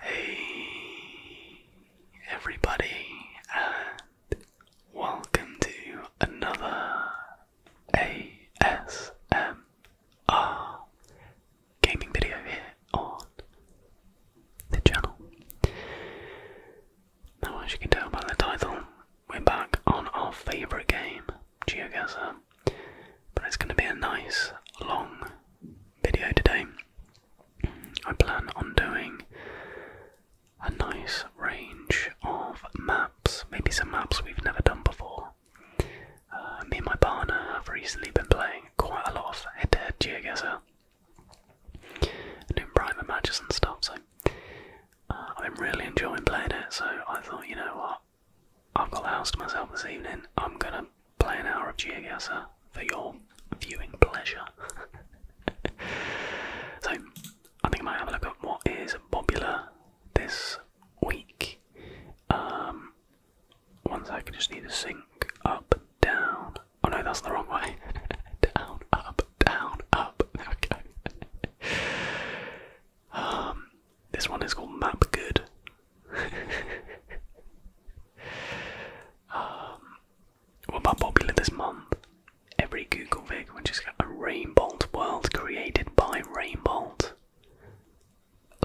Hey everybody and welcome to another ASMR gaming video here on the channel. Now as you can tell by the title, we're back on our favourite game, GeoGuessr, but it's going to be a nice long video today. I plan on doing a nice range of maps, maybe some maps we've never done before. Uh, me and my partner have recently been playing quite a lot of head to geoguesser and Prime private matches and stuff, so uh, I've been really enjoying playing it. So I thought, you know what, I've got the house to myself this evening, I'm gonna play an hour of Geogazer for your viewing pleasure. so, I think I might have a look at what is popular this week. Um, one second, just need to sync up, down. Oh no, that's the wrong way. down, up, down, up. There we go. Um, this one is called Map Good. Um, what about popular this month? Every Google Vic, which is a Rainbow world created by Rainbow.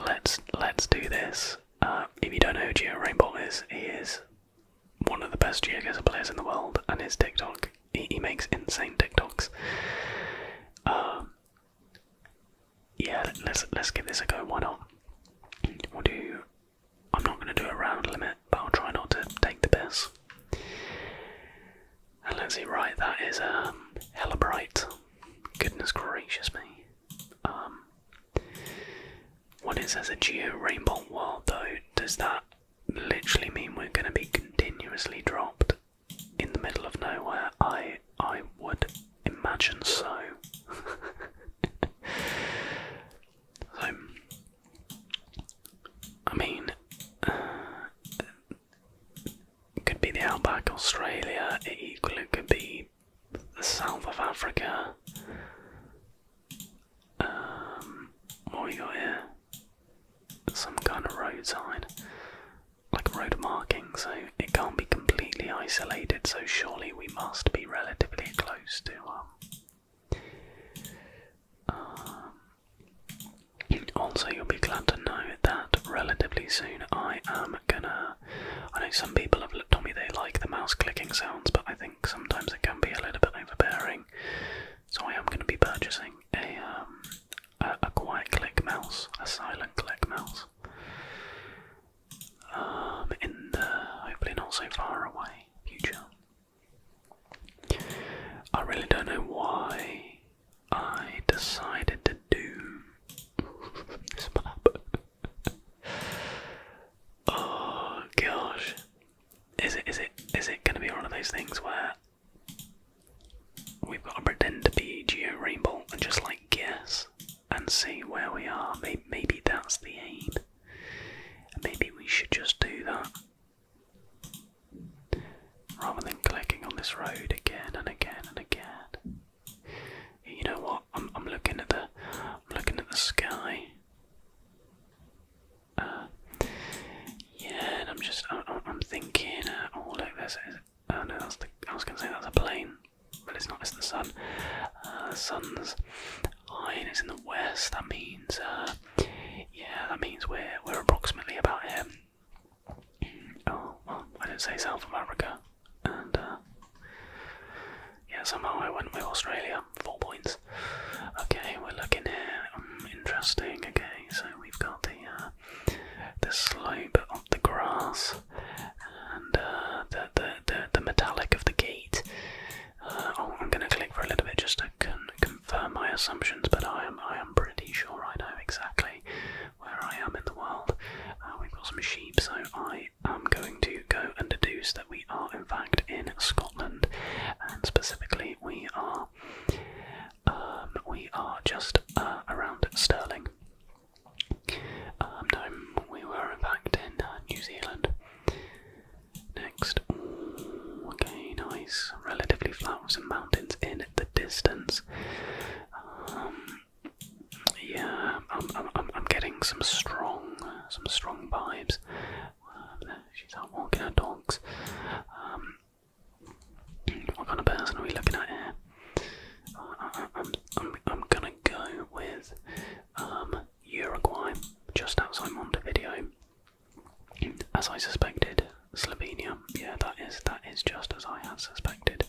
Let's let's do this. Uh, if you don't know who Geo Rainbow is, he is one of the best GeoGuessr players in the world, and his TikTok, he, makes insane TikToks. Um, yeah, let's let's give this a go. Why not? We'll do. I'm not going to do a round limit, but I'll try not to take the piss. And let's see. Right, that is a um, hella bright. Goodness gracious me. Um, when it a geo rainbow world, though, does that literally mean we're going to be continuously dropped in the middle of nowhere? I I would imagine so. so, I mean, uh, it could be the outback, Australia, it could be the south of Africa. Um, what we here? Some kind of road like road marking, so eh? it can't be completely isolated, so surely we must be relatively close to um, um. also, you'll be glad to know that relatively soon I am gonna. I know some people have told me they like the mouse clicking sounds, but I think sometimes it can be a little bit overpowering. So I am going to be purchasing um, a, a quiet click mouse, a silent click mouse. Um, in the hopefully not so far away future. I really don't know why I decided to do this map. oh gosh, is it is it is it going to be one of those things where we've got to pretend to be Geo Rainbow and just like guess and see where we are. Maybe, that's the aim. Maybe we should just do that. Rather than clicking on this road again and again and again. You know what? I'm I'm looking at the I'm looking at the sky. Uh, yeah, and I'm just I'm, I'm thinking. Uh, oh look, there's. Oh no, that's the. I was gonna say that's a plane but it's not, it's the sun. the uh, sun's line is in the west, that means, uh, yeah, that means we're, we're approximately about here. Oh, well, I do not say South America, and, uh, yeah, somehow I went with Australia, four points. Okay, we're looking here, hmm, interesting, okay, so we've got the, the slope of the grass, uh, the, the, the, metallic of the gate. Uh, oh, I'm going to click for a little bit just to confirm my assumptions, but I am I am pretty sure I know exactly where I am in the world. Uh, we've got some sheep, so I am going to go and deduce that we are in fact in Scotland, and specifically we are um, we are just around Sterling. Um, no, we were in in uh, New Zealand. Next, okay, nice. Relatively flat with some mountains in the distance. Um, yeah, I'm, I'm, I'm, getting some strong, some strong vibes. Um, she's out walking her dogs. what kind of person are we looking at here? Uh, I'm, I'm, I'm gonna go with um, Uruguay, just outside Montevideo. As I suspected, Slovenia. Yeah, that is that is just as I had suspected.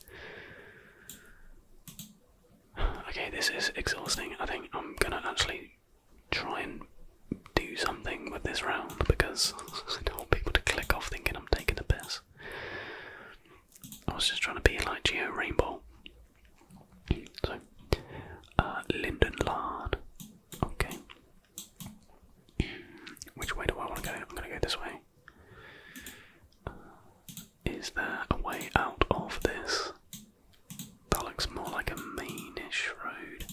Okay, this is exhausting. I think I'm gonna actually try and do something with this round because I don't want people to click off thinking I'm taking the piss. I was just trying to be like Geo Rainbow. So, uh, Linden Lard. Okay. Which way do I want to go? I'm going to go this way. Uh, is there a way out of this? That looks more like a mainish road.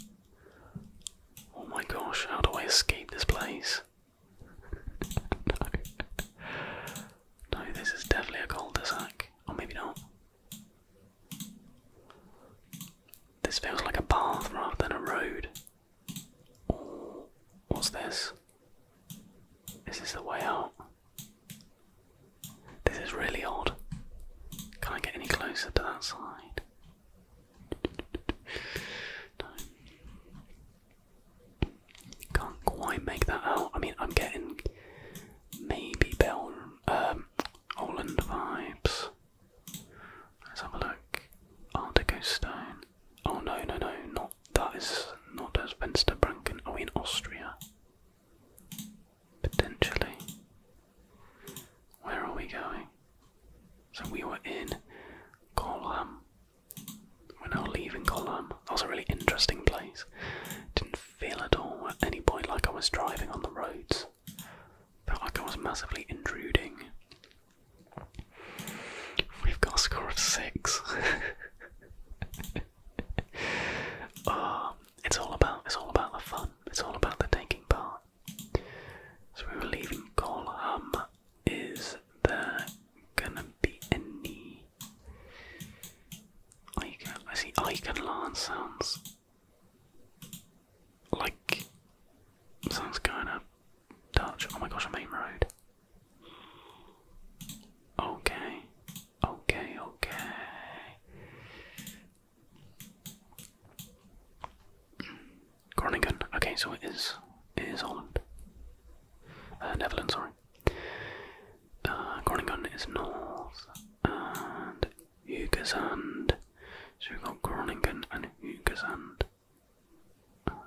Oh my gosh, how do I escape this place? no, this is definitely a cul-de-sac. Or oh, maybe not. This feels like a path rather than a road. what's this? Is this the way out? This is really odd. Can I get any closer to that side? Can't quite make that out. I mean, I'm getting maybe Bel um, Holland vibes. Let's have a look. Artico Stone. Oh no, no, no, not that is not as Vensterbranken. Are we in Austria? Potentially. Where are we going? So we were in Colham. We're now leaving Colum. That was a really interesting place. Didn't feel at all at any point like I was driving on the roads. Felt like I was massively intruding. We've got a score of six. Ah, it's all about it's all about the fun. It's all about the taking part. So we are leaving Colum. Is there gonna be any Icon, I see icon alarm sounds like sounds going up Dutch. Oh my gosh, a main road. Okay, okay, okay. Groningen. Okay, so it is it is Holland. Uh, Netherlands, sorry. Uh, Groningen is north, and Hugesand. So we've got Groningen and Hugesand. Uh,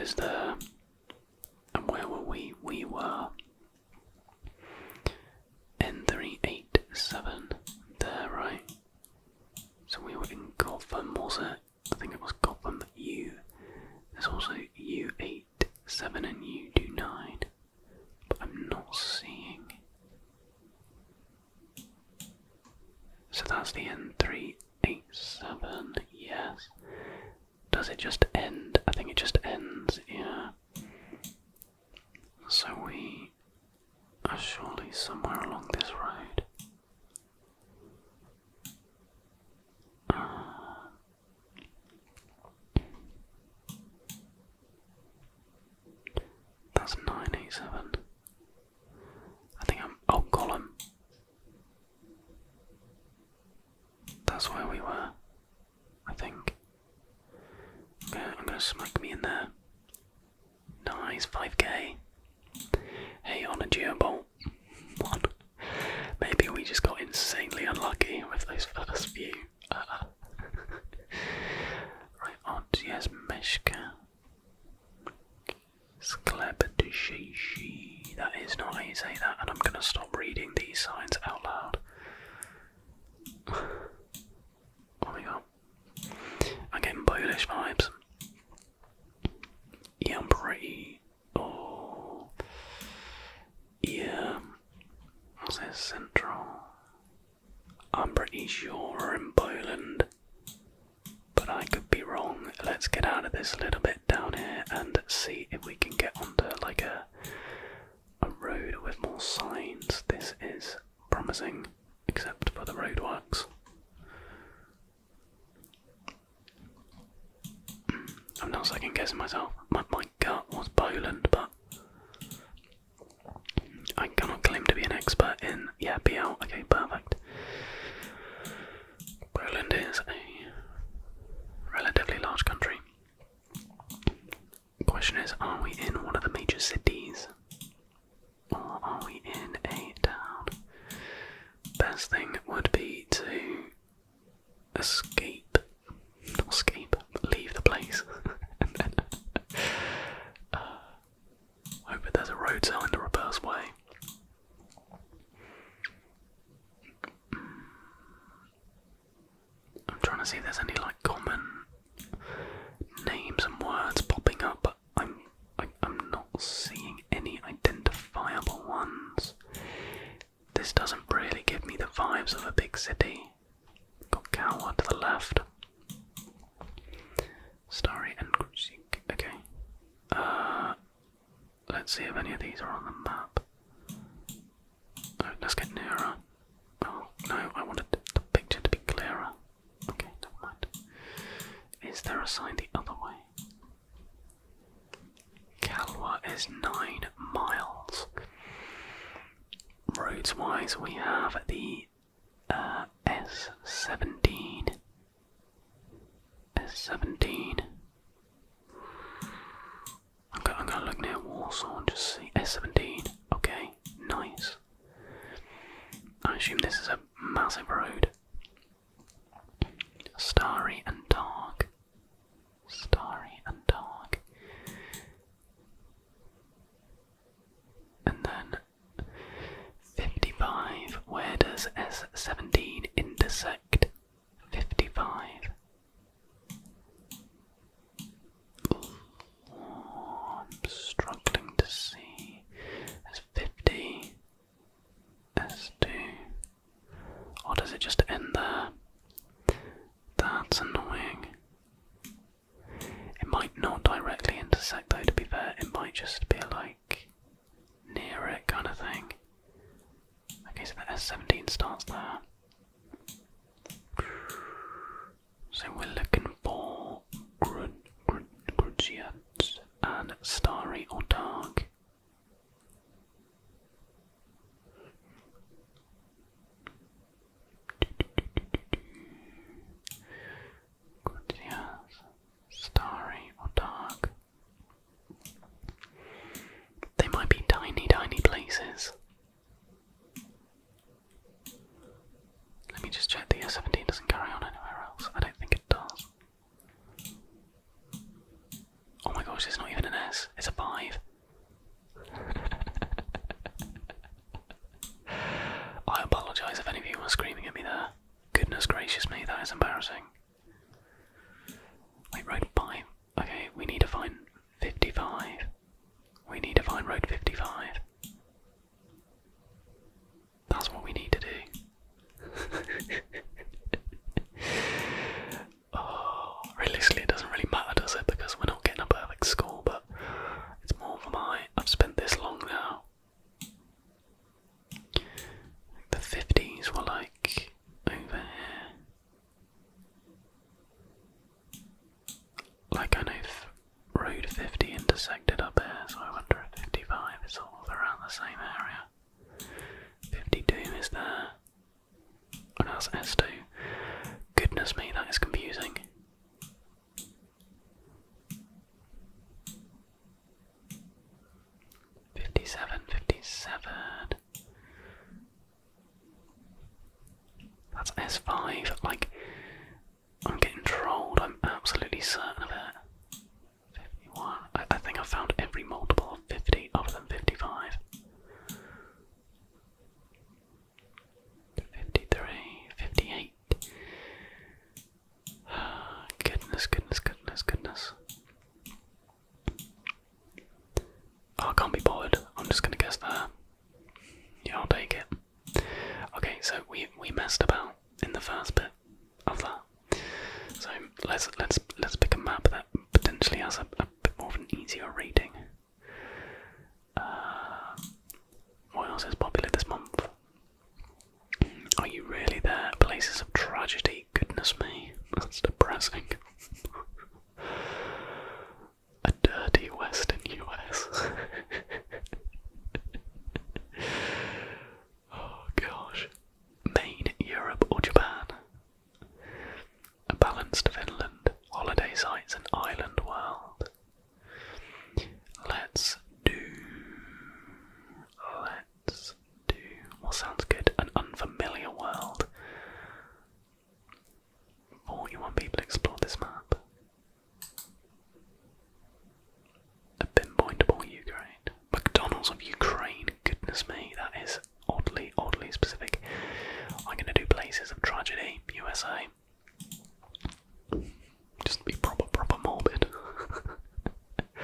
is there. And where were we? We were N387 there, right? So we were in Golf and Morzette. I think it was Goblin that you. There's also U8, 7, and U9, but I'm not seeing. So that's the N387, yes. Does it just end? I think it just ends, yeah. So we are surely somewhere along this road that's nine eight seven. I think I'm oh column. That's where we were, I think. Okay, I'm gonna smack me in there. Nice, 5k. Hey, on a Geobolt. One. Maybe we just got insanely unlucky with those first few. Uh, right, odds, yes, Meshka. Sklebatushishi. That is not easy, that, and I'm gonna stop reading these signs out loud. oh my god. i vibes. Yeah, I'm pretty Oh, yeah, was it central? I'm pretty sure we're in Poland, but I could be wrong. Let's get out of this a little bit down here and see if we can get onto like a a road with more signs. This is promising, except for the roadworks. I'm not second guessing myself. My, my gut was Poland, but I cannot claim to be an expert in. Yeah, BL. Okay, perfect. Poland is a relatively large country. Question is, are we in one of the major cities? Or are we in a town? Best thing would be to escape, not escape, leave the place, and then uh, hope that there's a road sign in the reverse way. Mm. I'm trying to see if there's any like common names and words popping up, I'm I'm not seeing any identifiable ones. This doesn't really give me the vibes of a big city. Got Kawa to the left. Starry and Grusik. Okay. Uh, let's see if any of these are on the map. let's get nearer. Oh, no, I wanted the picture to be clearer. Okay, never mind. Is there a sign the other way? Kalwa is nine miles. Roads wise, we have the S17. Uh, S17. I'm gonna, I'm gonna look near Warsaw and just see. S17. Okay, nice. I assume this is a massive road. Starry and dark. Starry and dark. And then 55. Where does S17 intersect 55? I'm struggling to see. There's 50, S2. Or does it just end there? That's annoying. It might not directly intersect though, to be fair. It might just be like near it kind of thing. Okay, so the S17 starts there. So we're looking for Grudgiat and Starry or Dark. Good, Starry or dark. They might be tiny, tiny places. Let me just check the S17 doesn't carry on anywhere else. I don't think it does. Oh my gosh, it's not even an S, it's a 5. I apologise if any of you were screaming at me there. Goodness gracious me, that is embarrassing. Wait, road 5. Okay, we need to find 55. We need to find road 55. That's what we need to do. oh, realistically, it doesn't really matter, does it? Because we're not getting a perfect score, but it's more for my. I've spent this long now. The 50s were like over here. Like, I know Road 50 intersected up here, so I wonder if 55 is all around the same area. 52 is there. Oh no, that's S2. Goodness me, that is confusing. Fifty-seven, fifty-seven. That's S5. Like, I'm getting trolled. I'm absolutely certain of it. 51. I, think I found every multiple of 50 other than 55. 53, 58. goodness, goodness, goodness, goodness. Oh, I can't be bothered. I'm just gonna guess there. Yeah, I'll take it. Okay, so we we messed about in the first bit of that. So let's let's let's pick a map that potentially has a, a bit more of an easier reading. Uh, what else is popular this month? Are you really there? Places of tragedy. Goodness me, that's depressing. a dirty Western US. Oh gosh. Maine, Europe, or Japan? A balanced Finland, holiday sites, and island world. Let's do. Let's do. What sounds good? An unfamiliar world. 41 people explored this map a pinpointable Ukraine. McDonald's of Ukraine. Goodness me, that is oddly, oddly specific. I'm gonna do places of tragedy, USA. Just be proper, proper morbid.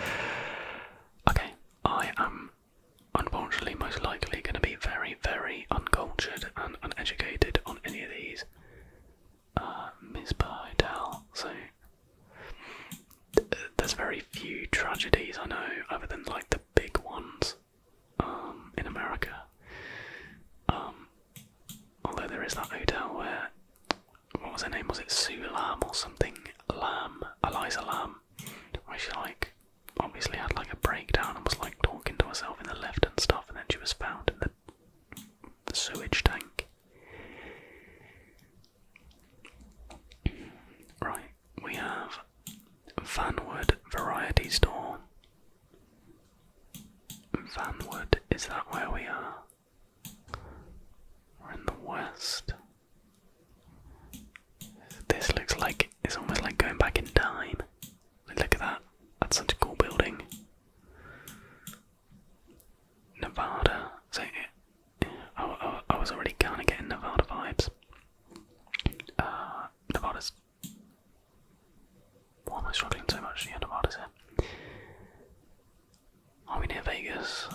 okay, I am unfortunately most likely gonna be very, very uncultured and uneducated on any of these. Uh, Mizpah Hotel, so there's very few tragedies I know, other than like the big ones um, in America. Um, although there is that hotel where, what was her name? Was it Sue Lamb or something? Lamb, Eliza Lamb, where she like obviously had like a breakdown and was like talking to herself in the lift and stuff, and then she was found in the sewage tank. Right, we have Vanwood Variety Store. Vanwood, is that where we are? We're in the west. This looks like it's almost like going back in time. Look at that. That's such a cool building. Nevada. isn't it? I, I, was already kind of getting Nevada vibes. Uh, Nevada's. Why am I struggling so much? Yeah, Nevada's here. Are we near Vegas?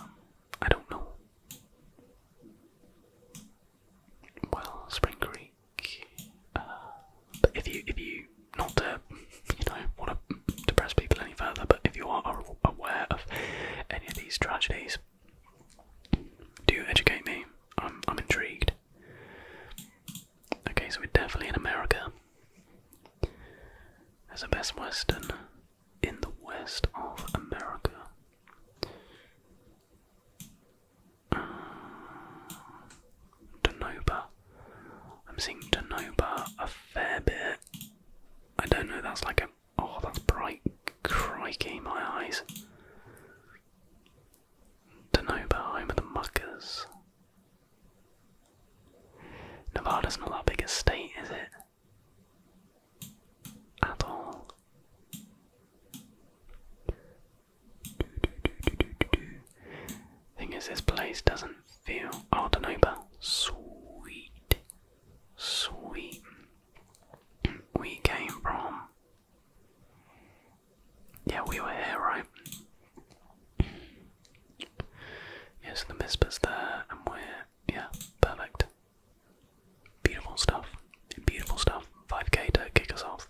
I don't know. Well, Spring Creek. Uh, but if you, if you, not to, you know, want to depress people any further, but if you are aware of any of these tragedies, please. Do educate me. I'm I'm intrigued. Okay, so we're definitely in America. There's a Best Western in the west of America. Uh, I'm seeing Donoba a fair bit. I don't know, that's like a Oh, that's bright. Crikey, my eyes. Denoba, home of the muckers. Nevada's not that big a state, is it? At all. Thing is, this place doesn't feel. Oh, Denoba. Sweet. Sweet we came from. Yeah, we were here, right? Yes, the Mispa's there, and we're. Yeah, perfect. Beautiful stuff. Beautiful stuff. 5k to kick us off.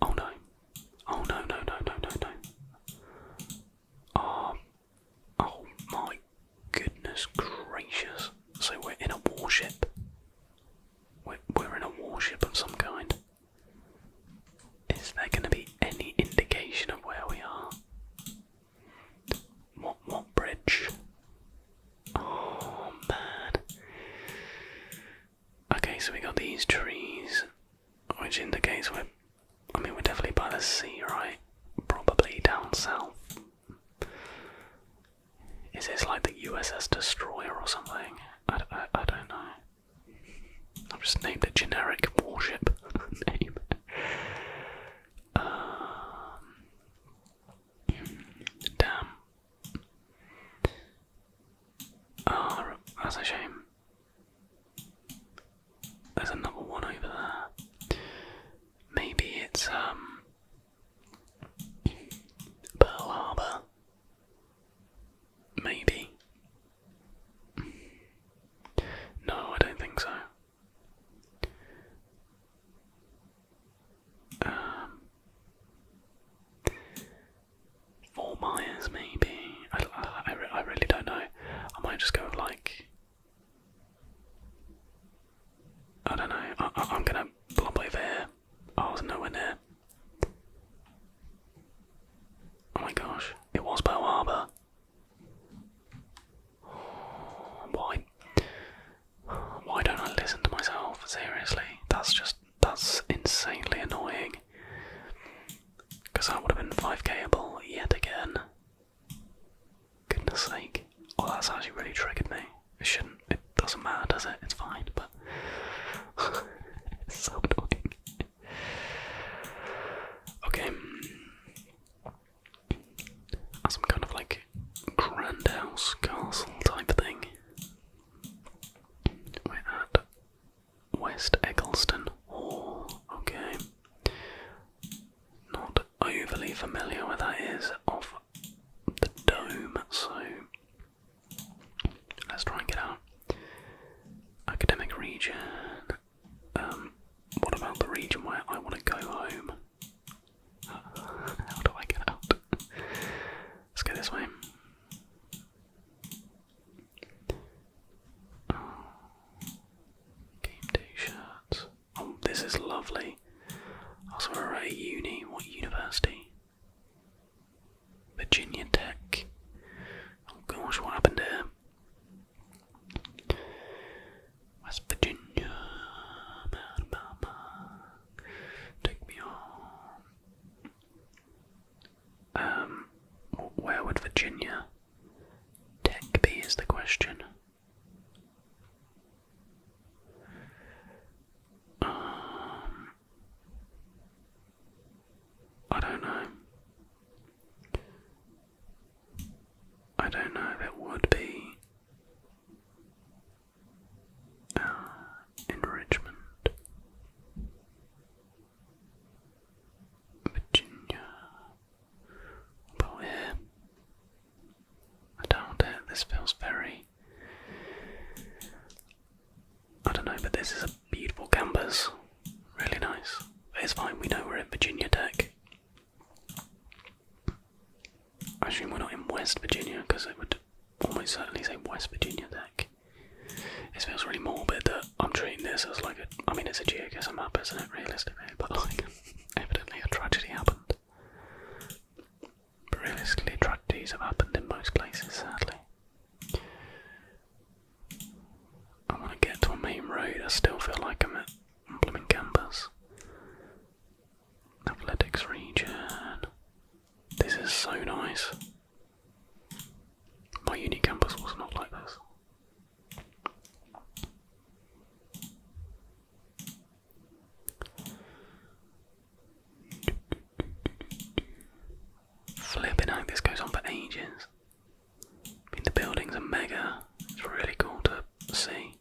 Oh no. Oh no, no, no, no, no, no. Oh, Oh my goodness gracious. So we're in a warship. We're, we're in a warship of some kind. Is there going to be any indication of where we are? What, what bridge? Oh man. Okay, so we got these trees, which indicates we're. I mean, we're definitely by the sea, right? Probably down south. Is this like the USS Destroyer or something? I, I, don't know. I've just named it generic warship name. Um, damn. Oh, that's a shame. There's another one over there. Maybe it's um Pearl Harbor. Maybe. No, I don't think so. Um, Four miles, maybe. I, I, really don't know. I might just go like I don't know. I, am gonna blob over I was oh, nowhere near. Oh my gosh, it was Pearl Harbor. Why? Why don't I listen to myself? Seriously, that's just that's insanely annoying. Because I would have been 5kable yet again. Goodness sake. Oh, that's actually really triggered me. It shouldn't, it doesn't matter, does it? It's fine, but. it's so annoying. Okay. That's kind of like grand house castle type thing. We're at West Eggleston Hall. Okay not overly familiar where that is off the dome, so let's try and get out. Academic region. Um, what about the region where I want to go home? How do I get out? Let's go this way. Game day shirts. This is lovely. I saw are at uni. What university? Virginia Tech. Oh gosh, what happened here? West Virginia. Take me on. Um, where would Virginia Tech be? Is the question. Um, I don't know. I don't know if it would be uh, enrichment. Virginia, about here. I doubt it. Uh, this feels very. I don't know, but this is a beautiful campus. Really nice. it's fine, we know we're in Virginia Tech. I assume we're not in West Virginia because it would almost certainly say West Virginia Tech. It feels really morbid that I'm treating this as like a. I mean, it's a geoguessr map, isn't it, realistically? But like, evidently a tragedy happened. But realistically, tragedies have happened in most places, sadly. I want to get to a main road, I still feel like I'm at Blooming Campus. Athletics region. This is so nice. My uni campus was not like this. Flipping out, this goes on for ages. I the buildings are mega, it's really cool to see.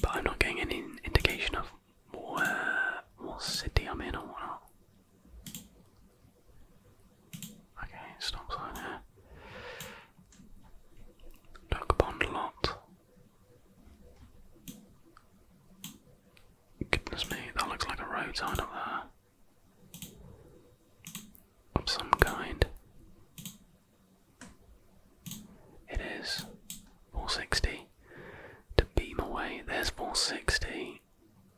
But I'm not getting any indication of what city I'm in or whatnot. Okay, stop sign Duck Pond Lot. Goodness me, that looks like a roadside up there. Of some kind. It is 460 to beam away. There's 460.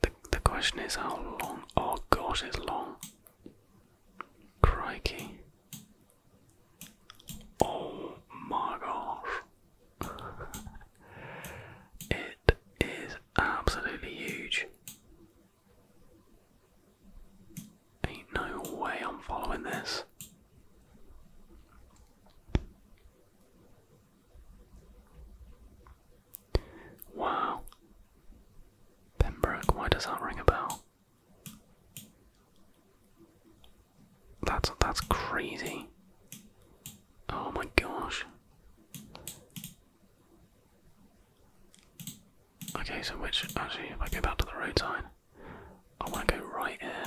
The, the question is how long? Oh gosh, it's long. Crikey. Oh my gosh. it is absolutely huge. Ain't no way I'm following this. Wow. Pembroke, why does that ring a bell? That's that's crazy. Oh my gosh. Okay, so which actually if I go back to the roadside, I wanna go right here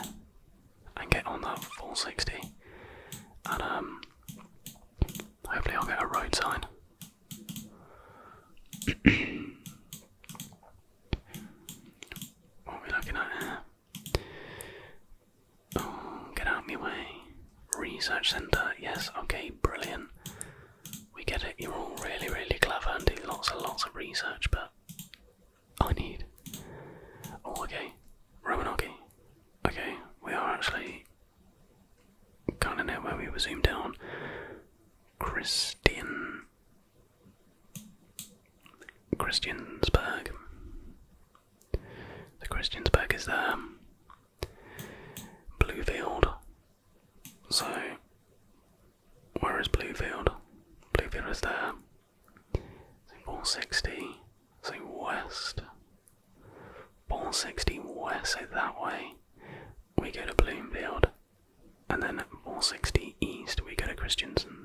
and get on that full sixty. And um hopefully I'll get a road sign. What are we looking at here? Oh, get out of my way. Research centre, yes, okay, brilliant. We get it, you're all really, really clever and do lots and lots of research, but I need. Oh, okay, Romanaki. Okay, we are actually kind of near where we were zoomed down. on. Christian Christiansburg. The Christiansburg is there. Um, Bluefield. So, where is Bluefield? Bluefield is there. So 460. So west. 460 west. So that way, we go to Bloomfield. And then 460 east we go to Christiansen,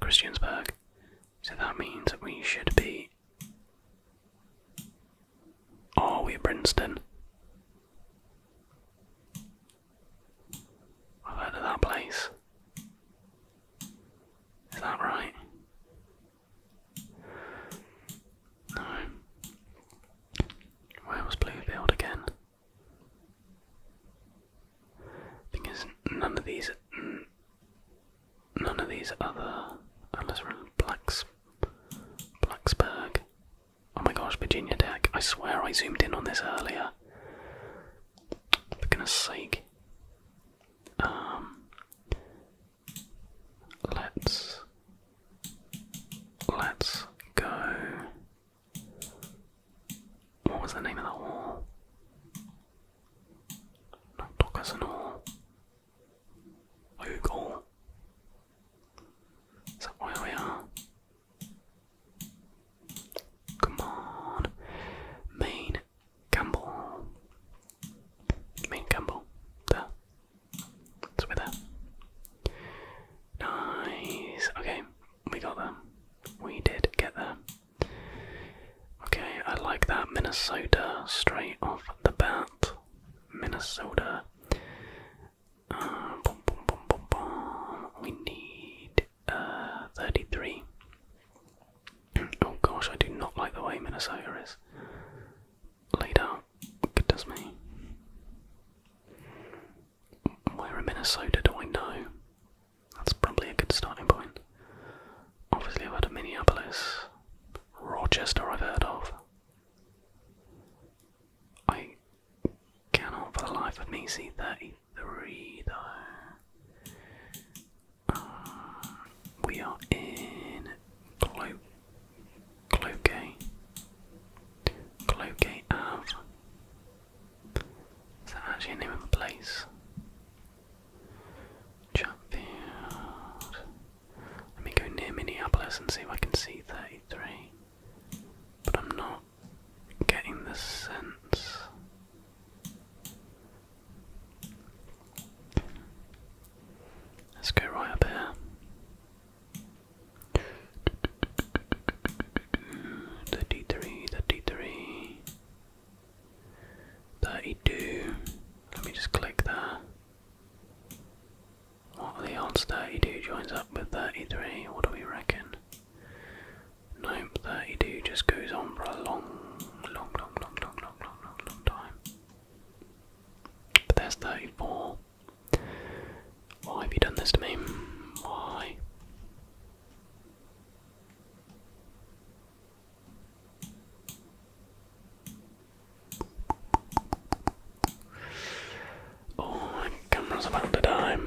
Christiansburg. So that means that we should be. Are we're Princeton. I've heard of that place. Is that right? No. Where was Bluefield again? Because none of these, none of these other, unless Blacks, Blacksburg. Oh my gosh, Virginia Tech! I swear I zoomed in on this earlier. For goodness' sake. Um. Let's let's go what was the name of that wall? Not Dockerson Hall. Oak Hall. Is that where we are? Come on. Main Campbell. Main Campbell. There. It's Nice. Okay, we got them. We did get them. Okay, I like that. Minnesota straight off the bat. Minnesota. Uh, we need uh, 33. oh gosh, I do not like the way Minnesota is laid out. Goodness me. Where in Minnesota do I know? That's probably a good starting point. Obviously, I've heard of Minneapolis. Rochester, I've heard of. I cannot for the life of me see 33 though. Uh, we are in Clo Cloquet. Clogate Ave. Is that actually a name of a place? Chatfield. Let me go near Minneapolis and see if I can see 33. But I'm not getting the sense. Let's go right up here. 33, 33, 32. Let me just click that. What are the odds 32 joins up with 33? What do we reckon? Nope, 32 just goes on for a long, long, long, long, long, long, long, long, long time. But there's 34. Why have you done this to me? Why? Oh, my camera's about to die.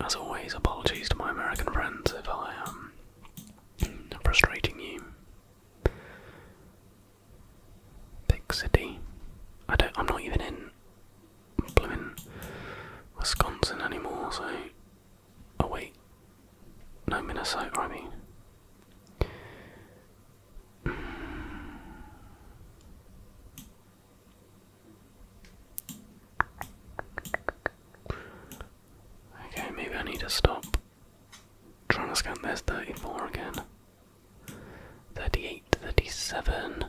As always, apologies to my American friends if I am um, frustrating you. Big city. I don't. I'm not even in. Blooming Wisconsin anymore. So. Oh wait. No, Minnesota. I mean. Okay, maybe I need to stop trying to scan this 34 again. 38, 37.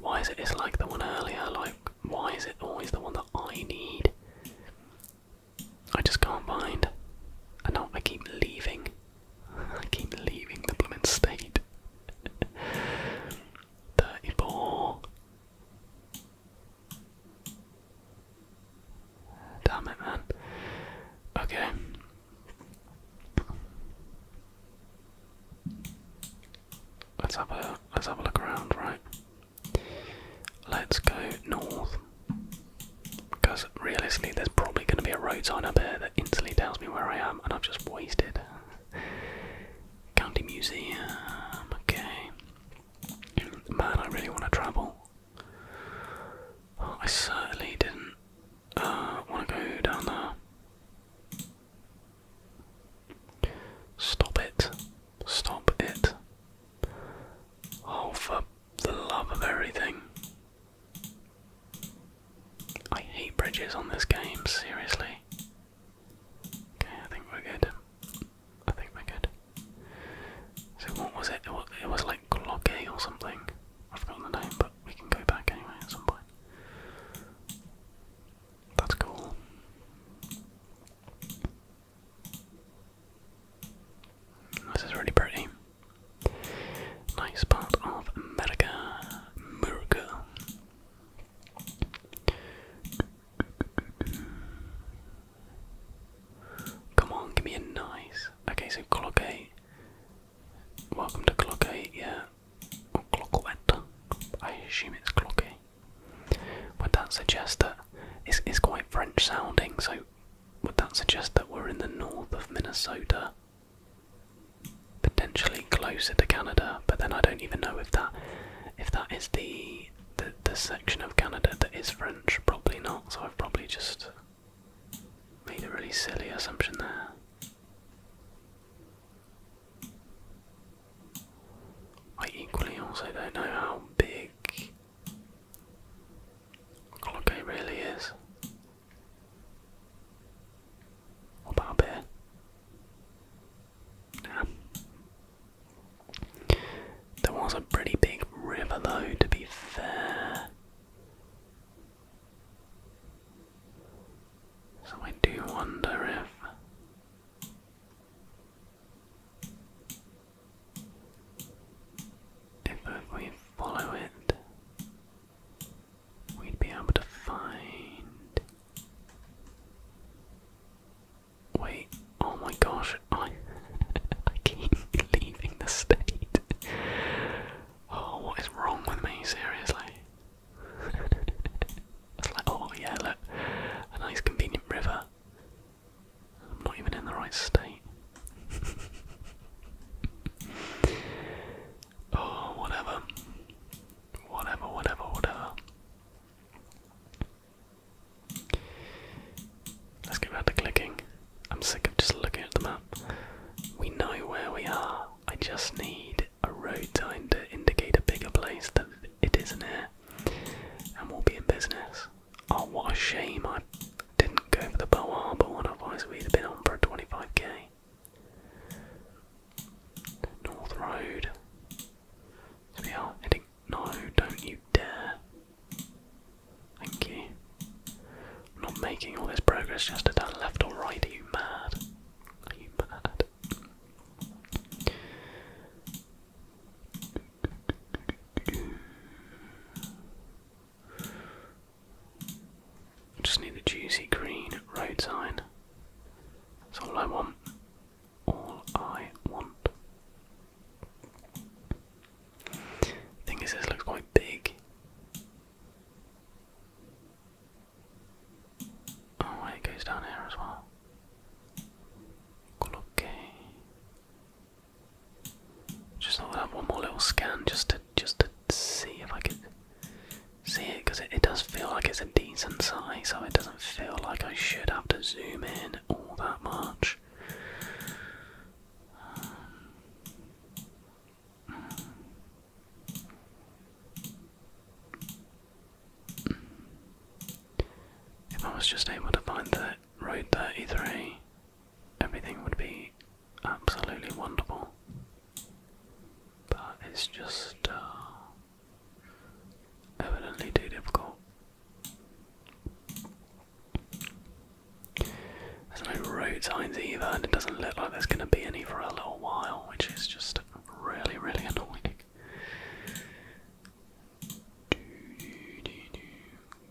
Why is it it's like the one earlier? Like, why is it always the one that I need? I just can't find. And now I keep leaving. I keep leaving the blooming state. 34. Damn it, man. Okay, Let's have a let's have a look around, right? Let's go north. Because realistically there's probably gonna be a road sign up here that instantly tells me where I am and I've just wasted. County Museum, okay. Man, I really want to travel. I certainly didn't uh, want to go down there. Stop it. Stop it. Oh, for the love of everything. I hate bridges on this game, seriously. Okay, I think we're good. I think we're good. So what was it? It was, like Glocke or something. I've forgotten the name, but we can go back anyway at some point. That's cool. This is really pretty. Nice part of America. America. Come on, give me a nice. Okay, so clock eight Welcome to Clock 8, yeah. Or Clock Wet. I assume it's Clocky. 8. Would that suggest that it's, quite French sounding, so would that suggest that we're in the north of Minnesota? Potentially closer to Canada, but then I don't even know if that if that is the, the section of Canada that is French. Probably not, so I've probably just Made a really silly assumption there. I equally also don't know how big Glocko really is. What about a bear? Nah. There was a pretty big river though, to be fair. So I do wonder if if we follow it we'd be able to find Wait, oh my gosh, I I keep leaving the state. Oh, what is wrong with me? Seriously. it's like, oh yeah, look, a nice convenient river. I'm not even in the right state. oh, whatever. Whatever, whatever, whatever. Let's get back to clicking. I'm sick of just looking at the map. We know where we are. I just need a road sign to indicate a bigger place that it is isn't here. And we'll be in business. Oh, what a shame I didn't go for the Bow Harbor one, otherwise we'd have been on for a 25k. North Road. we are heading. No, don't you dare. Thank you. not making all this progress just to turn left or right, you mad? you mad? just need a juicy green road sign. That's all I want. All I want. Thing is, this looks quite big. Oh, it goes down here as well. okay. Just thought I'd have one more little scan just to just to see if I could see it because it, does feel like it's a decent size, so it doesn't feel like I should have to zoom in all that much. Um, if I was just able to find the road 33, everything would be absolutely wonderful. But it's just uh, evidently too difficult. There's no road signs either, and it doesn't look like there's going to be any for a little while, which is just really, really annoying.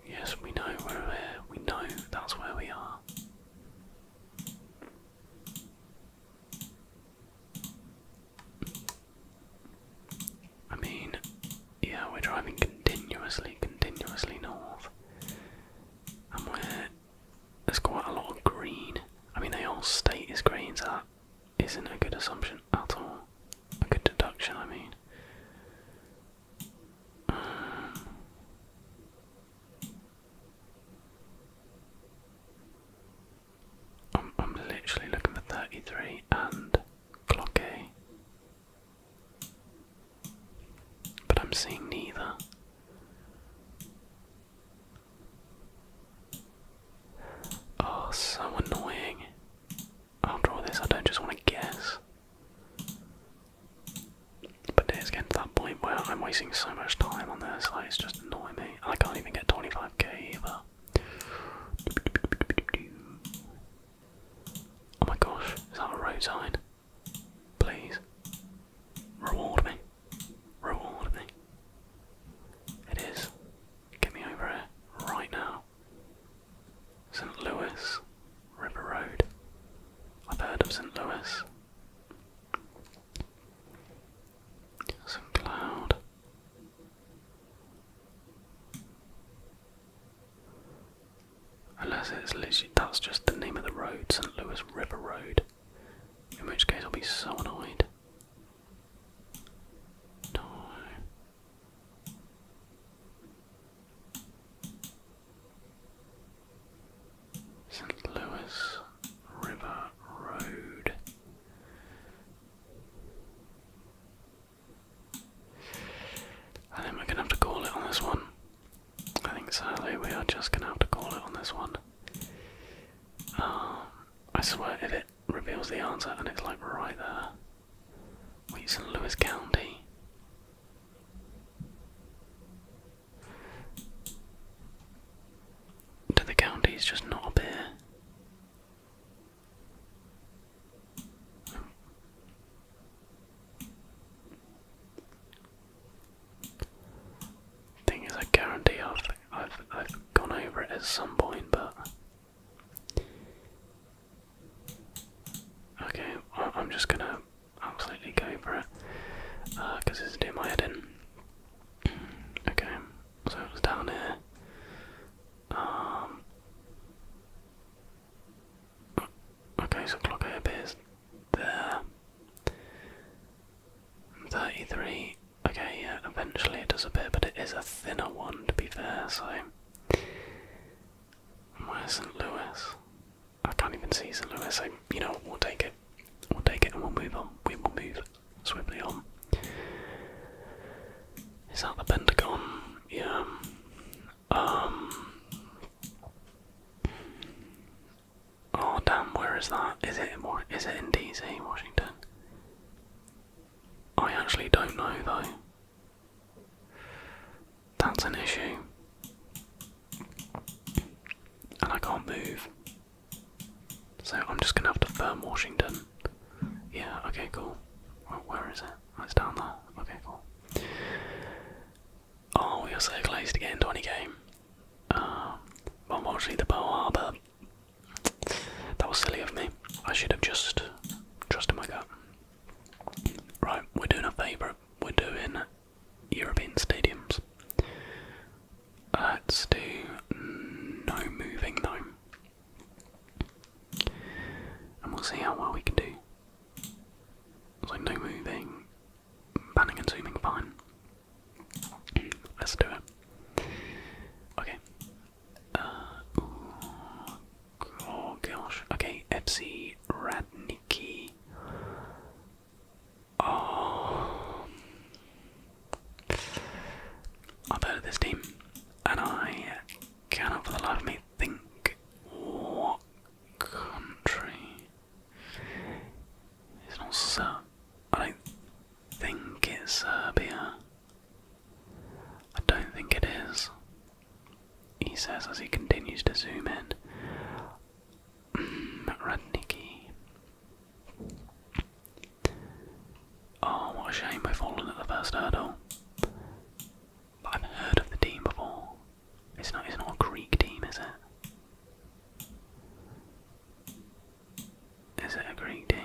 Yes, we know we We know that's where we are. I mean, yeah, we're driving continuously, continuously north and where there's quite a lot of green. I mean, they all state is greens so that isn't a good assumption at all. A good deduction, I mean. Um, I'm, I'm literally looking for 33 and clock but I'm seeing neither. Oh, so annoying. After all this, I don't just want to guess. But it's getting to that point where I'm wasting so much time on this, like, it's just annoying me. I can't even get 25k either. Oh my gosh, is that a road sign? Please. Reward me. Reward me. It is. Get me over here right now. St. Louis River Road. I've heard of St. Louis. Some cloud. Unless it's literally, that's just the name of the road, St. Louis River Road. In which case I'll be so annoyed. St. Louis River Road. I think we're gonna have to call it on this one. I think sadly we are just gonna have to call it on this one. Um, I swear if it reveals the answer and it's like right there. we Wait, St. Louis County. Do the counties just not appear? Thing is, I guarantee I've I've gone over it at some point, but okay, I'm just gonna absolutely go for it because uh, it's doing my head in. okay, so it down here. Um, Okay, so clock A appears there. 33. Okay, yeah, eventually it does appear, but it is a thinner one to be fair, so. Where's St. Louis? I can't even see St. Louis, so you know, we'll take it. We'll take it and we'll move on. We will move swiftly on. Is that the Pentagon? Yeah. Um. Oh damn, where is that? Is it more is it in DC, Washington? I actually don't know though. That's an issue. And I can't move. So I'm just gonna have to firm Washington. Yeah, okay, cool. Where is it? Oh, it's down there. Okay, cool. Oh, we are so close to getting 20k. Uh, unfortunately, the Pearl Harbor. That was silly of me. I should have just trusted my gut. Right, we're doing a favourite. We're doing European stadiums. Let's do no moving though. And we'll see how well we can do. So no moving, Panning and zooming, fine. Let's do it. Okay. Uh, ooh, oh gosh. Okay, FC Radnicki. Um, I've heard of this team, and I cannot for the life of me think what country it's not Ser I don't think it's Serbia. I don't think it is. He says as he continues to zoom in. Mm, Oh, what a shame we've fallen at the first hurdle. But I've heard of the team before. It's not it's not a Greek team, is it? Is it a Greek team?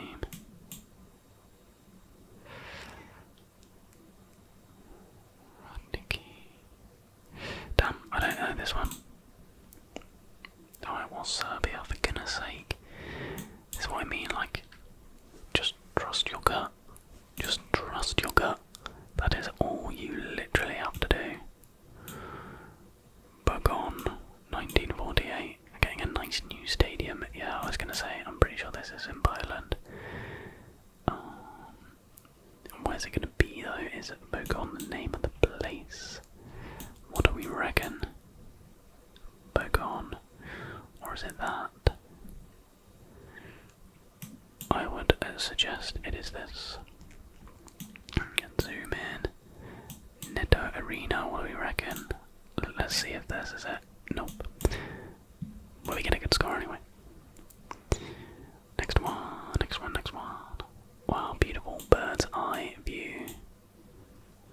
Damn, I don't know this one. Oh, it was Serbia, for goodness sake. That's is what I mean, like, just trust your gut. Just trust your gut. That is all you literally have to do. Bogon, 1948. Getting a nice new stadium. Yeah, I was going to say, I'm pretty sure this is in Poland. Um, where's it going to be though? Is it Bogon the name of the place? What do we reckon? Bogon. Or is it that? I would uh, suggest it is this. Zoom in. Netto Arena, what do we reckon? Let's see if this is it. Nope. Well, we get a good score anyway. Next one, next one, next one. Wow, beautiful bird's eye view.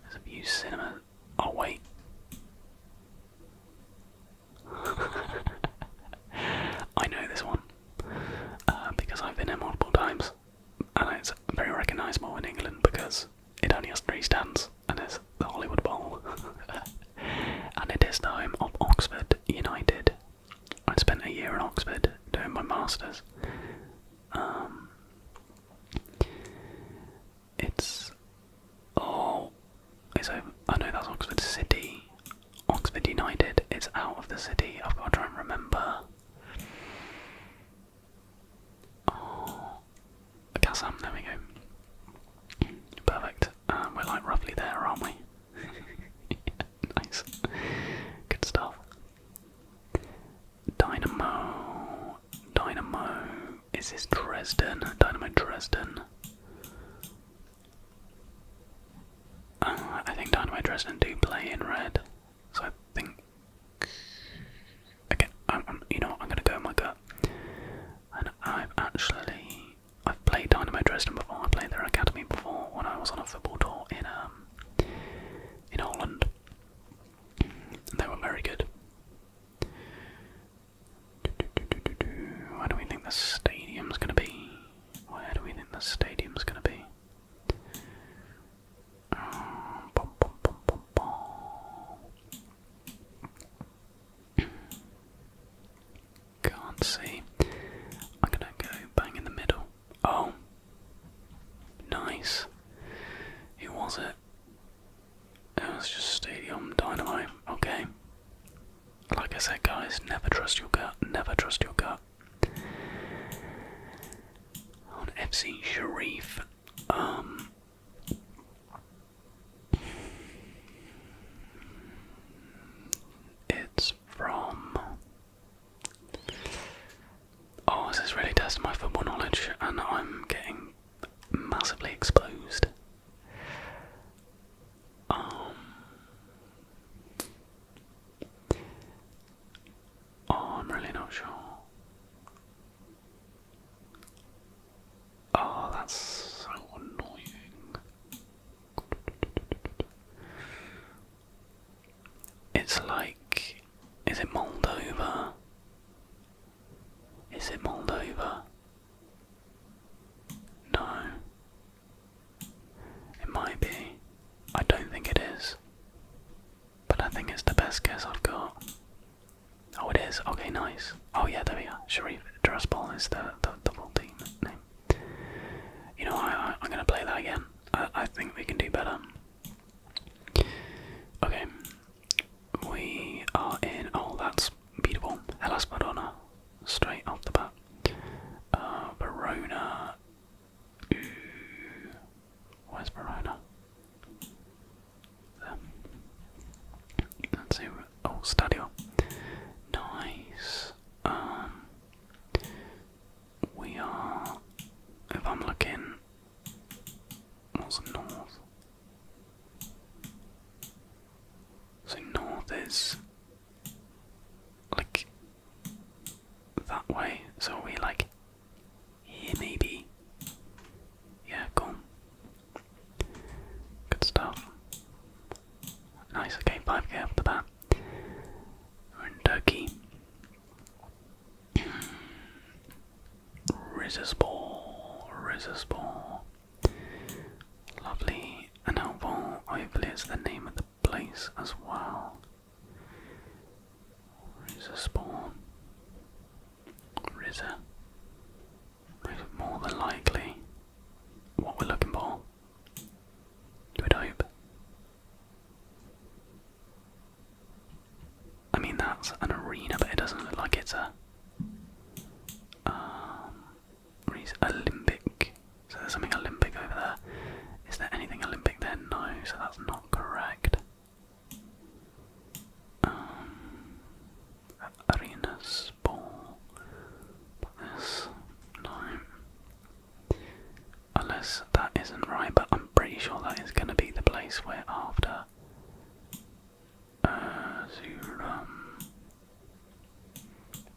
There's a view cinema. Oh, wait. I know this one uh, because I've been here multiple times, and it's very recognisable in England because it only has three stands, and it's the Hollywood Bowl, and it is the home of Oxford United. I spent a year in Oxford doing my masters. Um, it's oh, it's I know that's Oxford City. Oxford United It's out of the city. I've got to try and remember. Oh, Kassam, there we go. Perfect. Um, we're like roughly there, aren't we? nice. Good stuff. Dynamo. Dynamo. Is this Dresden? Dynamo Dresden. I think Dynamo Dresden do play in red, so I think. Again, I'm, you know, I'm gonna go in my gut. And I've actually, I've played Dynamo Dresden before. I played their academy before when I was on a football tour in um in Holland. And they were very good. Where do we think the stadium's gonna be? Where do we think the stadium's gonna be? Um, Can't see. I'm gonna go bang in the middle. Oh, nice. It was it? It was just Stadium dynamite. Okay. Like I said, guys, never trust your gut. Never trust your gut. On FC Sharif, um, it's from. Oh, this is really testing my football knowledge, and I'm getting massively exposed. Um, oh, I'm really not sure. Oh, that's so annoying. It's like, is it Moldova? Is it Moldova? No. It might be. I don't think it is. But I think it's the best guess I've got. Oh, it is. Okay, nice. Oh, yeah, there we are. Sharif Dressball is the, the, the full team name. You know, I, I, am going to play that again. I, I think we can do better. Okay. We are in. Oh, that's beautiful. Hellas Madonna straight off the bat. Uh, Verona. Where's Verona? Let's see. Oh, Stadio. Nice. Um, we are. If I'm looking, what's north? So north is like that way. So are we like here maybe? Yeah, cool. Good stuff. Nice, okay, 5k after the bat. We're in Turkey. Resistible, resistible. Lovely and helpful. Hopefully, it's the name of place as well. Rizza spawn. Rizza. More than likely what we're looking for. we hope. I mean that's an arena, but it doesn't look like it's a um, Olympic. So there's something Olympic over there. Is there anything Olympic there? No, so that's not correct. Um, arena Spore. no. Unless that isn't right, but I'm pretty sure that is going to be the place where after. Uh, Zurum.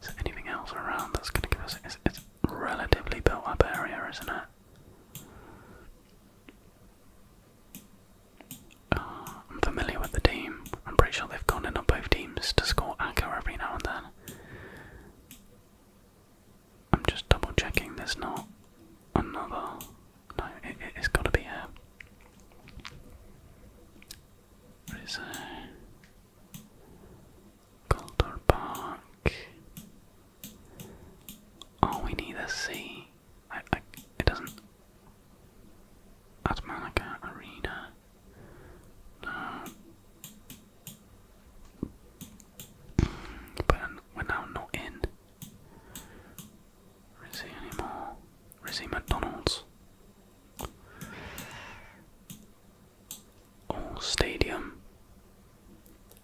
Is there anything else around that's going to give us? It's, relatively built up area, isn't it? Ah, I'm familiar with the team. I'm pretty sure they've gone in on both teams to score a goal every now and then. I'm just double checking there's not another. No, it, has got to be here. What is there? Calder Park. Oh, we need a C. I, I, it doesn't. Atmanica Arena. But we're now not in. Rizzy anymore. Rizzy McDonald's all oh, stadium.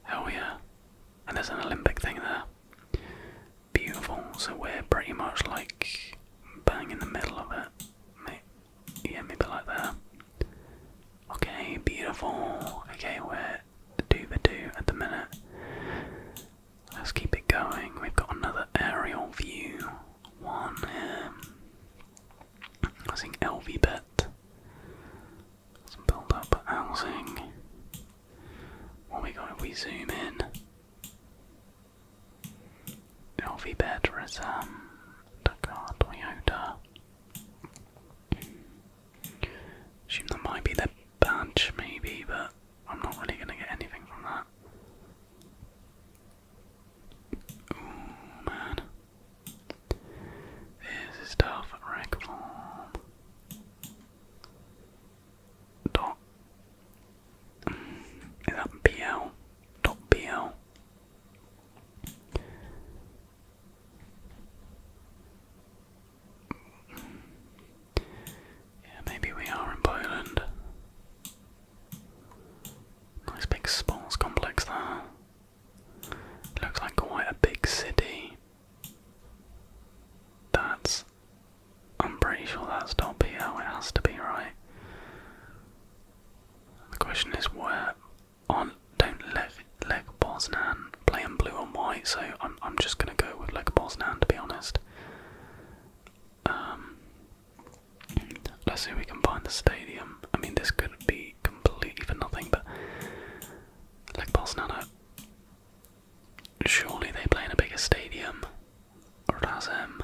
Hell yeah. And there's an Olympic thing there. Beautiful. So we're pretty much like bang in the middle of it. yeah, maybe like that. Okay, beautiful. Okay, we're two for two at the minute. Let's keep it going. We've got another aerial view. One here. Um, I think bet. Some build up housing. What we got we zoom in? LV bet is Toyota. Assume that might be their badge maybe, but I'm not really gonna get anything from that. Oh man. This is tough. Rank Dot. Is that BL? Dot BL. Yeah, maybe we are in Poland. Nice big sports complex there. Looks like quite a big city. That's. I'm pretty sure that's not PL, it has to be, right? The question is where on don't let Leg Bosnan play in blue and white, so I'm I'm just gonna go with Leg Bosnan to be honest. Um, Let's see if we can find the stadium. I mean, this could be completely for nothing, but. Like Bolsonaro. Surely they play in a bigger stadium. Razem.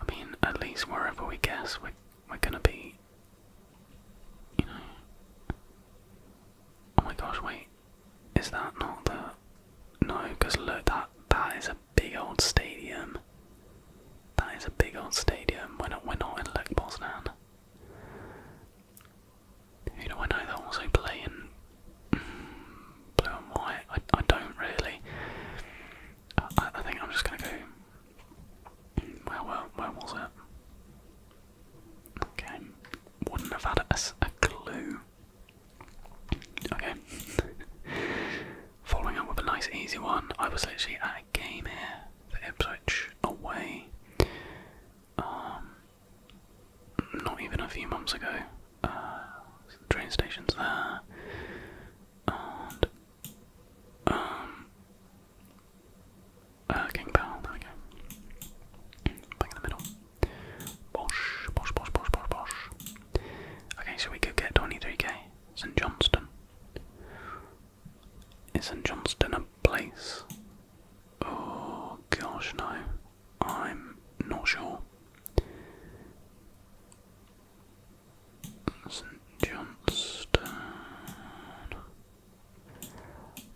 I mean, at least wherever we guess, we're, we're gonna be. You know. Oh my gosh, wait. Is that not the. No, because look, that that is a big old stadium. That is a big old stadium. We're not, we're not in Lech Poznan. Who do I know that also play in mm, blue and white? I, I don't really. I, think I'm just going to go. Where, where, where was it? Okay. Wouldn't have had a, a clue. Okay. Following up with a nice easy one, I was literally at a game here Ipswich away. Um, not even a few months ago. the uh, train station's there, and um, uh, King Powell. There Back in the middle. Okay, so we could get 23k. St Johnston. Is St Johnston a place? Oh gosh, no. I'm not sure. St Johnston.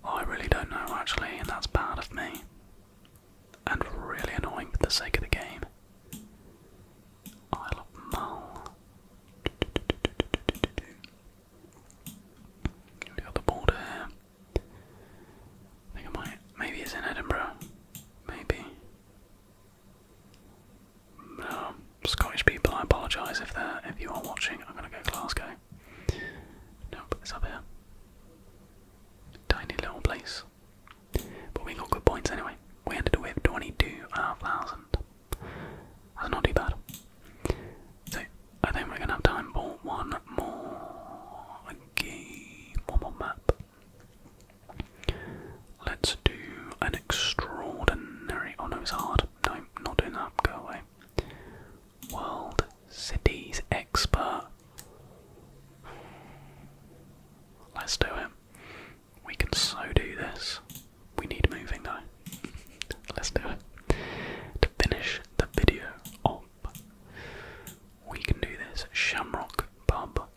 I really don't know actually, and that's bad of me and really annoying for the sake of the game. Isle of Mull. We got the border here. think I might. Maybe it's in Edinburgh. Maybe. No, um, Scottish people. I apologise if they're if you are watching. I'm gonna go Glasgow. Nope, it's up here. Tiny little place. But we got good points anyway. We ended up with 22,500. That's not too bad. So, I think we're going to have time for one more game, one more map. Let's do an extraordinary. Oh no, it's hard. No, not doing that. Go away. World Cities Expert Let's do it. We can so do this. We need moving though. Let's do it. To finish the video off, we can do this. Shamrock Pub.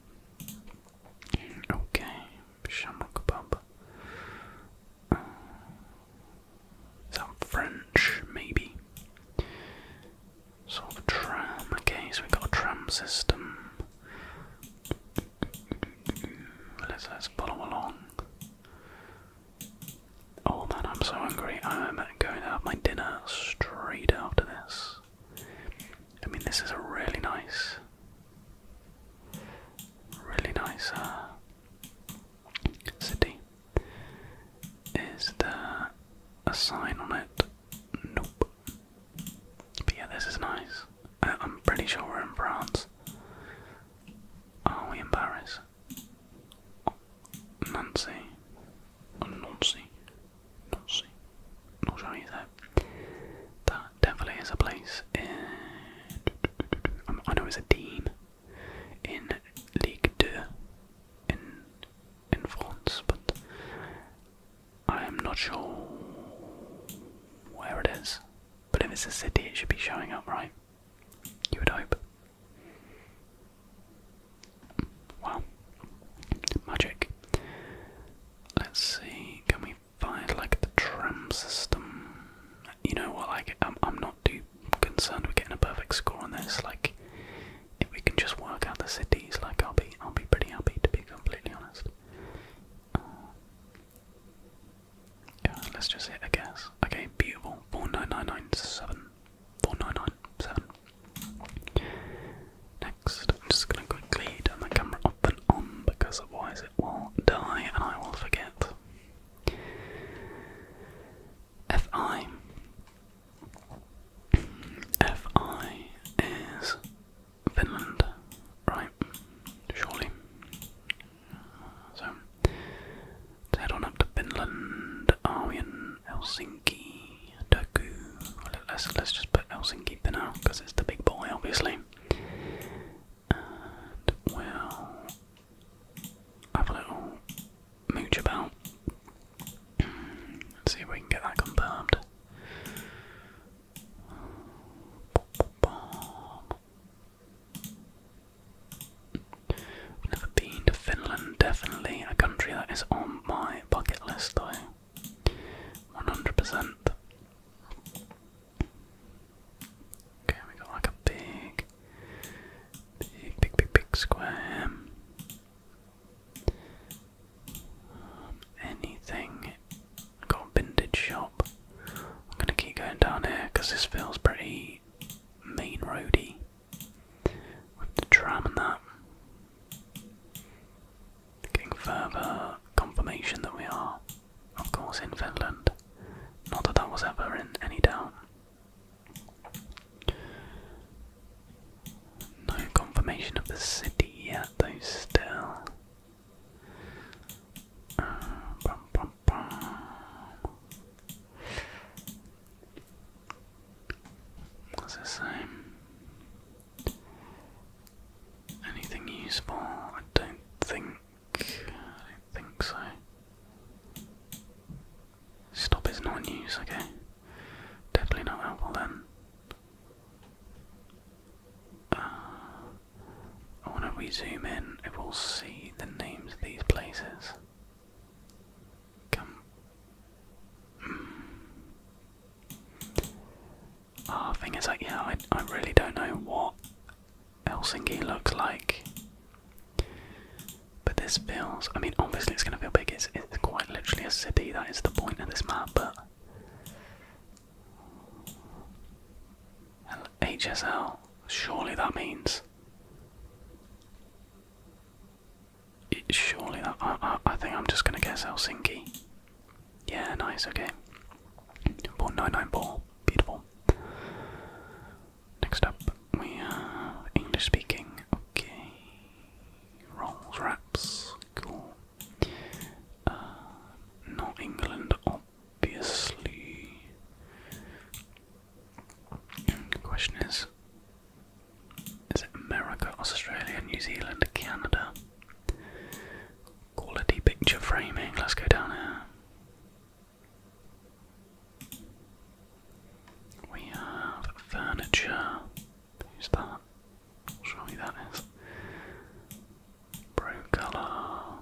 Okay, Shamrock Pub. Uh, French, maybe? Sort of a tram. Okay, so we've got a tram system. Let's, let's follow along. Oh man, I'm so hungry. I'm going to have my dinner straight after this. I mean, this is a really nice, really nice uh, city. Is there a sign on it? Nope yeah, this is nice. I am pretty sure we're in France. Are we in Paris? Oh, Nancy. Oh, Nancy. Nancy. Not sure either. That definitely is a place in. I know it's a team in League 2 in France, but I am not sure where it is. But if it's a city, it should be showing up, right? You would hope. Well, magic. Let's see, can we find like the tram system? You know what? Like, I'm I'm not too concerned with getting a perfect score on this. Like, if we can just work out the cities, like I'll be, I'll be pretty happy to be completely honest. Uh, let's just hit a guess. Okay, beautiful. Four nine nine nine Next, I'm just gonna quickly turn the camera off and on because otherwise it will die and I will forget. Fi Fi is Finland, right? Surely. So, let's head on up to Finland. Are we in Helsinki? Turku? Let's, let's just put Helsinki for now because it's the big boy, obviously. And we'll have a little mooch about. Let's see if we can get that confirmed. never been to Finland, definitely a country that is on my bucket list though. 100%. Okay, we got like a big, big, big, big, big square. Um, anything? Got a vintage shop. I'm gonna keep going down here because this feels pretty main roady with the tram and that. Getting further confirmation that we are, of course, in Finland. Not that that was ever in any doubt. No confirmation of the city yet, though, still. Uh, Anything useful? I don't think. I don't think so. Stop is not in use, okay. Definitely not helpful then. Uh, I wonder we zoom in if we'll see the names of these places. Come. Hmm. Ah, thing is, like, yeah, I, I really don't know what Helsinki looks like. But this feels, I mean, obviously it's going to feel big, it's, it's quite literally a city, that is the point of this map, but HSL, surely that means. It, surely that. I, think I'm just gonna guess Helsinki. Yeah, nice, okay. Ball 99 ball, beautiful. Next up, we have English speaking, okay. Rolls, wraps. Uh, not England, obviously. question is Is it America, Australia, New Zealand, Canada? Quality picture framing, let's go down here. We have furniture. Who's that? surely that is. Pro colour.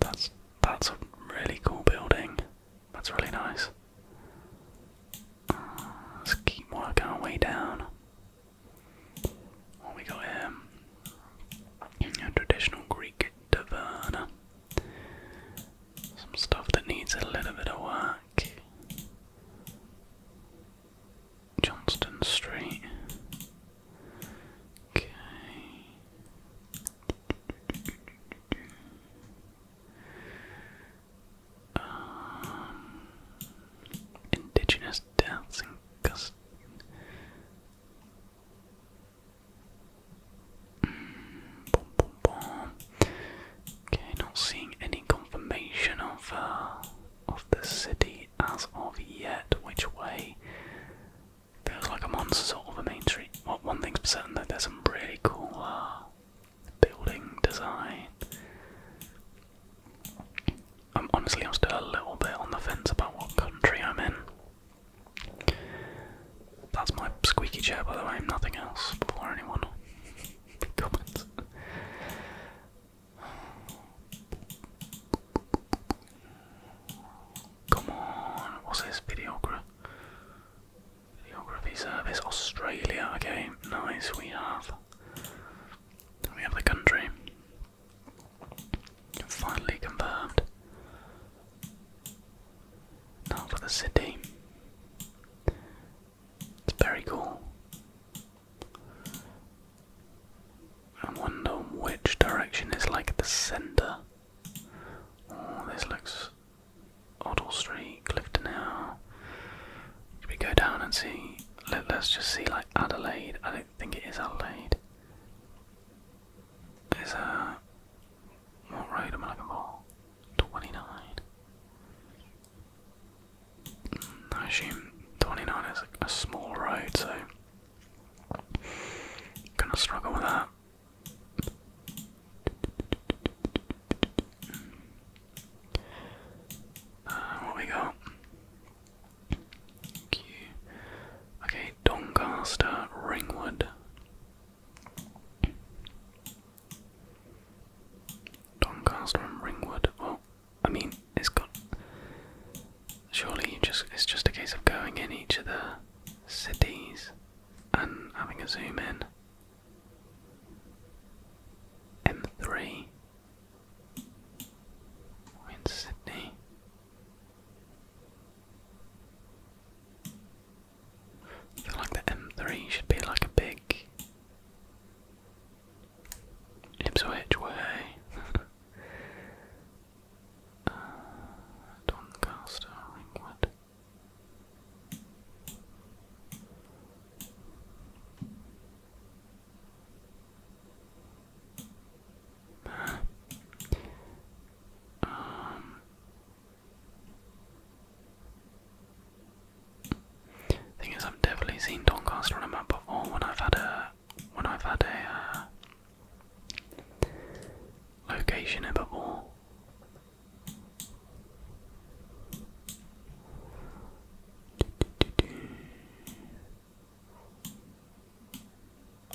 That's that's a really cool building. That's really nice. Uh, let's keep working our way down. What we got here? A traditional Greek taverna. Some stuff that needs a little bit of work. Johnston Street. Okay. Um, indigenous deaths hmm, bomb. Okay, not seeing any confirmation of uh, of the city as of yet. Which way? Feels like a monster sort of a main street. Well, one thing's certain that there's some really cool uh, building design. Um, honestly, I'm still a little bit on the fence about what country I'm in. That's my squeaky chair, by the way, nothing else, before anyone Come on, what's this videography? Videography service, Australia. Okay, nice. We have. We have the country. Finally confirmed. Now for the city. It's very cool. I wonder which direction is like the center. Oh, this looks Oddle Street, Clifton Hill. Should we go down and see? Let, us just see like Adelaide. I don't think it is Adelaide. There's a. What road am looking for? 29. I assume 29 is a small road, so gonna struggle with that. Uh, we got? Q. Okay, Doncaster, Ringwood. Doncaster and Ringwood. Well, I mean, it's got. Surely you just it's just a case of going in each of the cities and having a zoom in. M3. in Sydney. I feel like the M3 should be like a big Ipswich way. Uh, Doncaster, Ringwood. Um, Thing is, I've definitely seen Doncaster on a map before when I've had a when I've had a uh, location here before.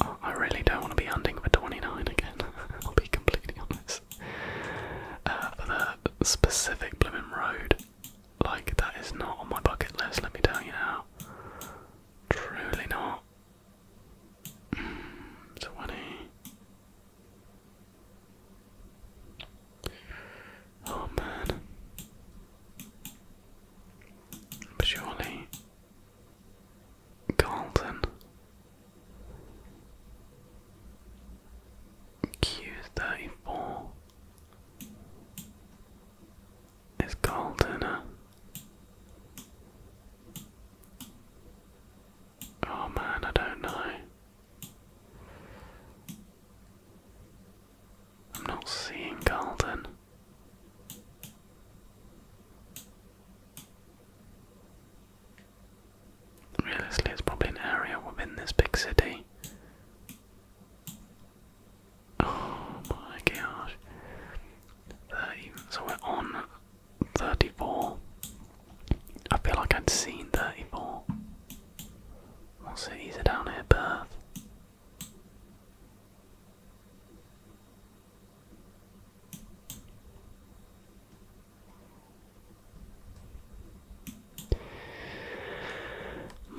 Oh, I really don't want to be hunting for 29 again, I'll be completely honest. Uh, the specific Blooming Road. Like, that is not on my bucket list, let me tell you now. Truly not. Mm, 20. Oh man. surely. Carlton. Q34 is golden. Oh man, I don't know. I'm not seeing golden. Realistically, it's probably an area within this big city. Oh my gosh. so we're on 34. I feel like I'd seen 34. What cities are down here? Perth.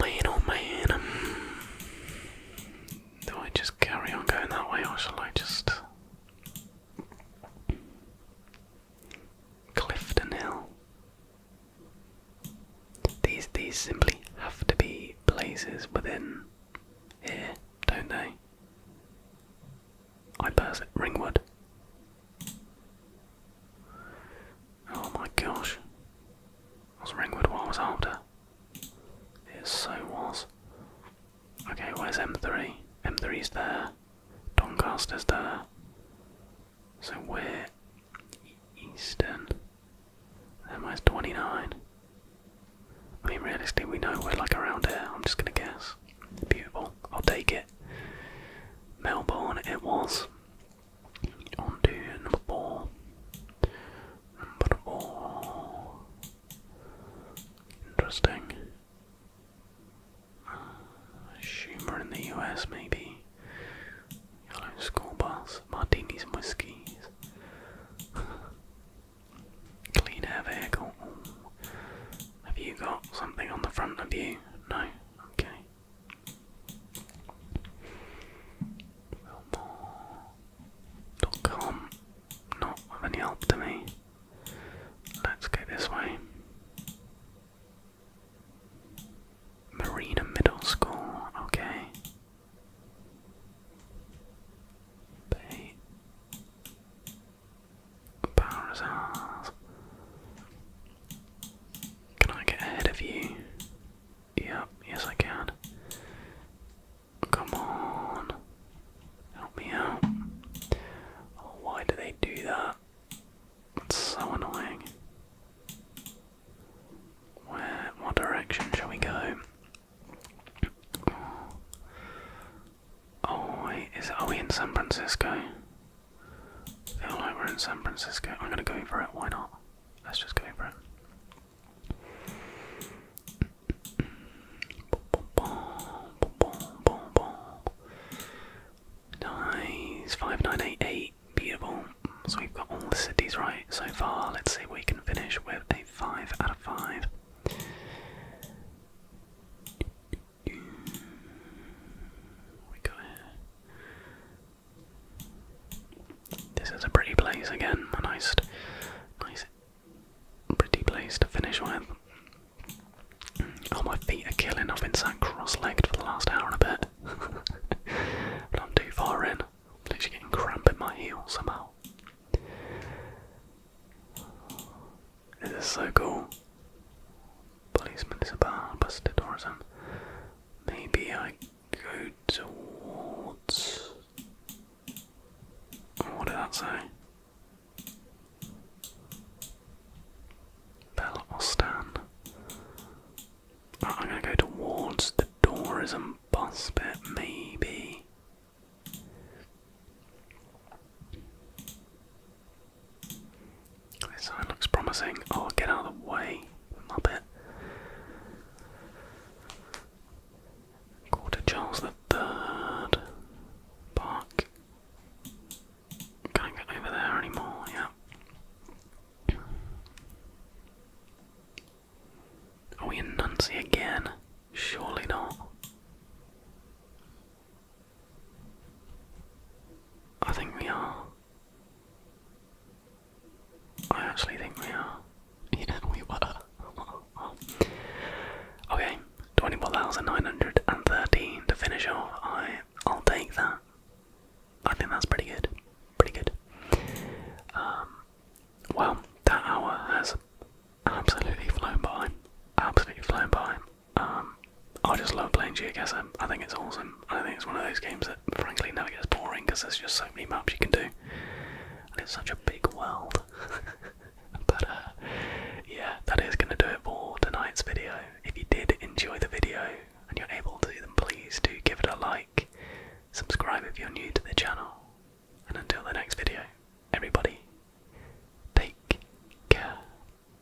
Man, oh man. do I just carry on going that way or shall I just. Clifton Hill. These these simply have to be places within here, don't they? I pass it. Ringwood. Oh my gosh. Was Ringwood what I was after? It so was. Okay, where's M3? M3's there. Doncaster's there. So we're Eastern. Then where's 29? I mean, realistically, we know we're like around here. I'm just gonna guess. Beautiful. I'll take it. Melbourne it was. On to number four. Number four. Interesting. Schumer in the US, maybe. Yellow school bus. Martinis and whiskies. Clean air vehicle. Have you got something on the front of you? No. Okay. Willmore.com. Not of any help to me. Let's go this way. Marina Middle School, okay. Bay Powers ours. Can I get ahead of you? Yep, yes I can. Come on. Help me out. Oh, why do they do that? It's so annoying. Where, what direction shall we go? oh wait, is, are we in San Francisco? I feel like we're in San Francisco. I'm gonna go for it. Why not? Let's just go for it. Nice. 5988. Beautiful. So we've got all the cities right so far. Let's see if we can finish with a 5 out of 5 we got here? This is a pretty place again, a nice, nice, pretty place to finish with. Oh, my feet are killing. I've been sat cross-legged for the last hour and a bit, but I'm too far in. I'm literally getting cramp in my heels somehow. This is so cool. Policeman is a bar, busted tourism. Maybe I go towards. What did that say? Bell I'm gonna go towards the tourism bus bit, maybe. This it looks promising. Oh, get out of the way, Muppet. Quarter Charles the Third Park. Can't get over there anymore, yeah. Are we in Nancy again? Surely not. I think we are. I actually think we are. Yeah, we were. okay, 24,913 to finish off. I, I'll take that. I think that's pretty good. Pretty good. Um, well, that hour has absolutely flown by. Absolutely flown by. Um, I just love playing GeoGuessr. I think it's awesome. I think it's one of those games that, frankly, never gets boring because there's just so many maps you can do, and it's such a big world. but uh, yeah, that is going to do it for tonight's video. If you did enjoy the video and you're able to, then please do give it a like, subscribe if you're new to the channel, and until the next video, everybody, take care